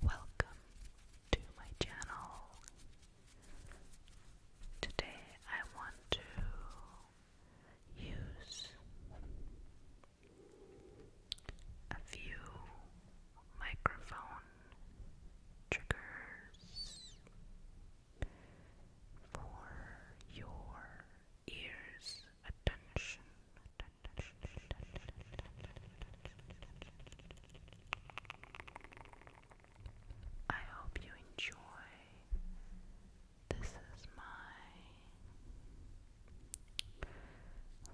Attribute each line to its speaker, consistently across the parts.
Speaker 1: Welcome to my channel. Today I want to use a few microphone triggers for your ears attention. I hope you enjoy. This is my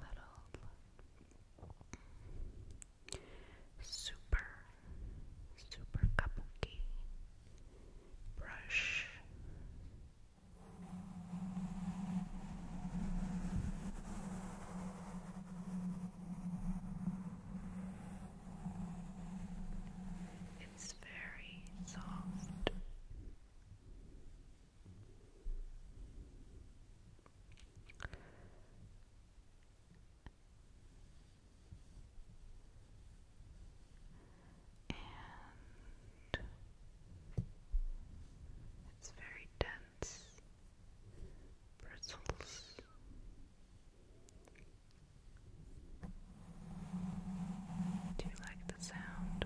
Speaker 1: little Super, super kabuki brush. It's very soft and it's very dense bristles. Do you like the sound?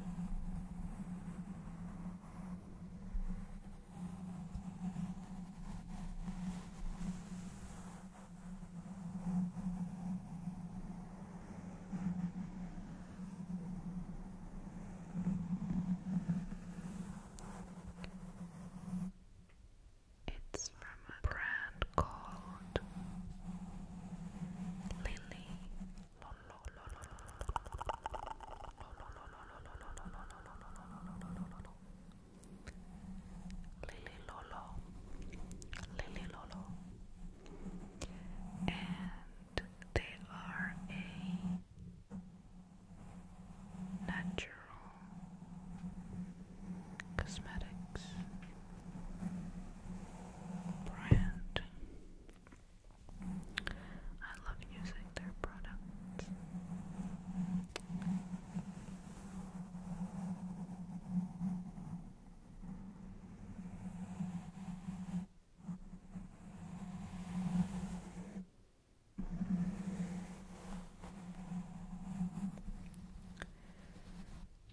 Speaker 1: It's from a brand called Lily Lolo Lily Lolo, Lily Lolo, and they are a natural cosmetics brand. I love using their products.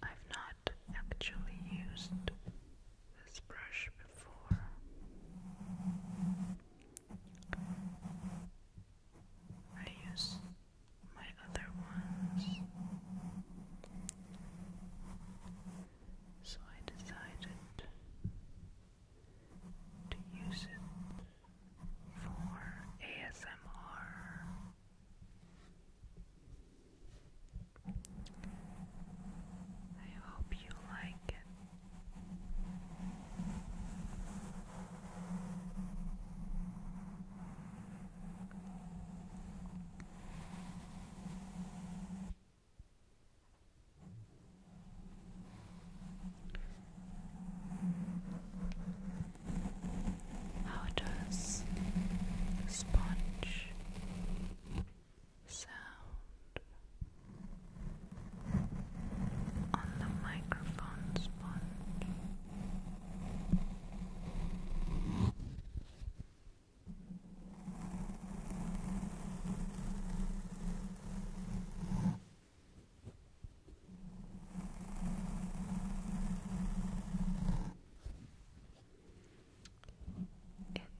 Speaker 1: I've not actually used this brush before, I use my other ones. So I decided to use it for ASMR. I hope you like it. How does sponge sound? on the microphone sponge.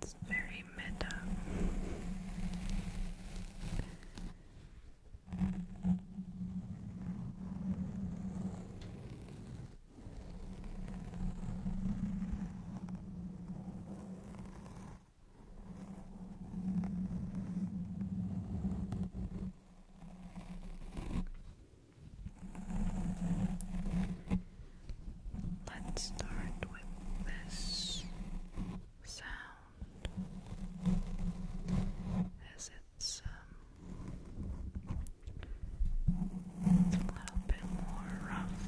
Speaker 1: It's very meta. Let's start with this sound as um, it's a little bit more rough.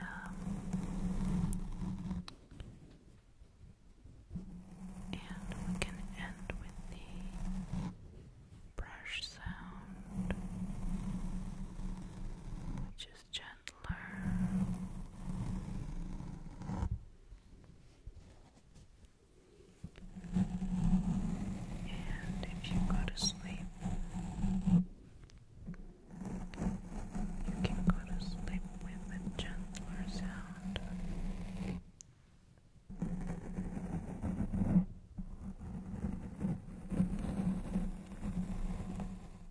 Speaker 1: Um, and we can end with the brush sound, which gentler. And if you go to sleep, you can go to sleep with a gentler sound.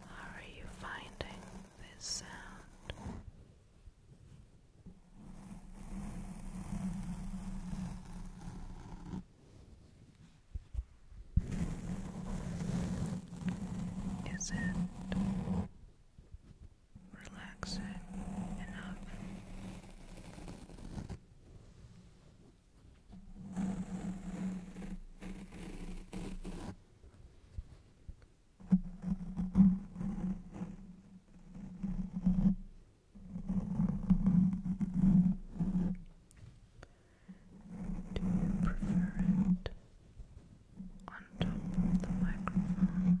Speaker 1: How are you finding this sound? Is it Relaxing enough. Do you prefer it on top the microphone.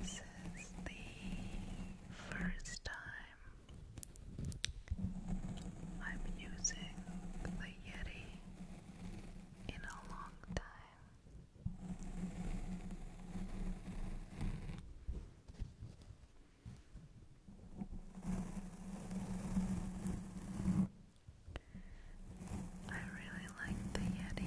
Speaker 1: This is the first time I'm using the Yeti in a long time. I really like the Yeti.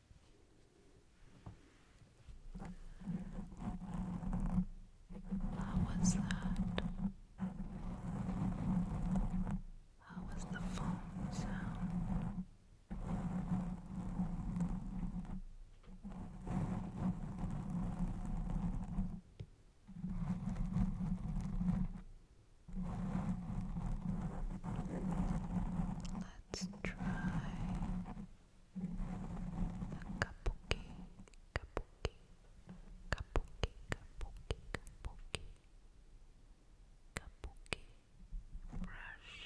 Speaker 1: How was that? How was the phone sound? Let's try Kabuki, kabuki, kabuki, kabuki, kabuki, kabuki, brush.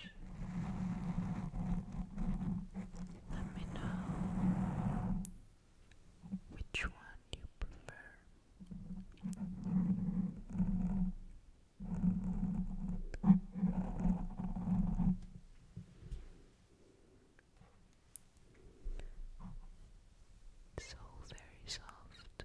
Speaker 1: Let me know which one you prefer. So very soft.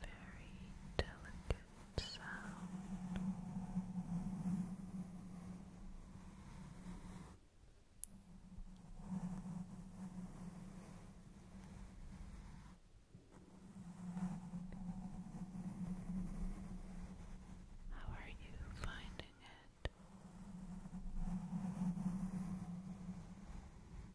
Speaker 1: very delicate sound. How are you finding it?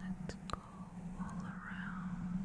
Speaker 1: Let's go all around.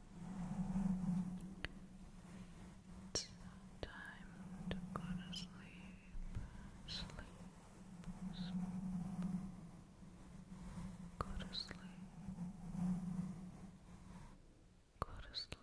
Speaker 1: It's time to go to sleep. Sleep. Go to sleep. Go to sleep.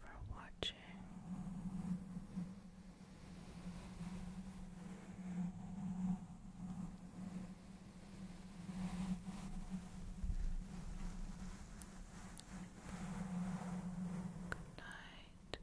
Speaker 1: for watching. Good night.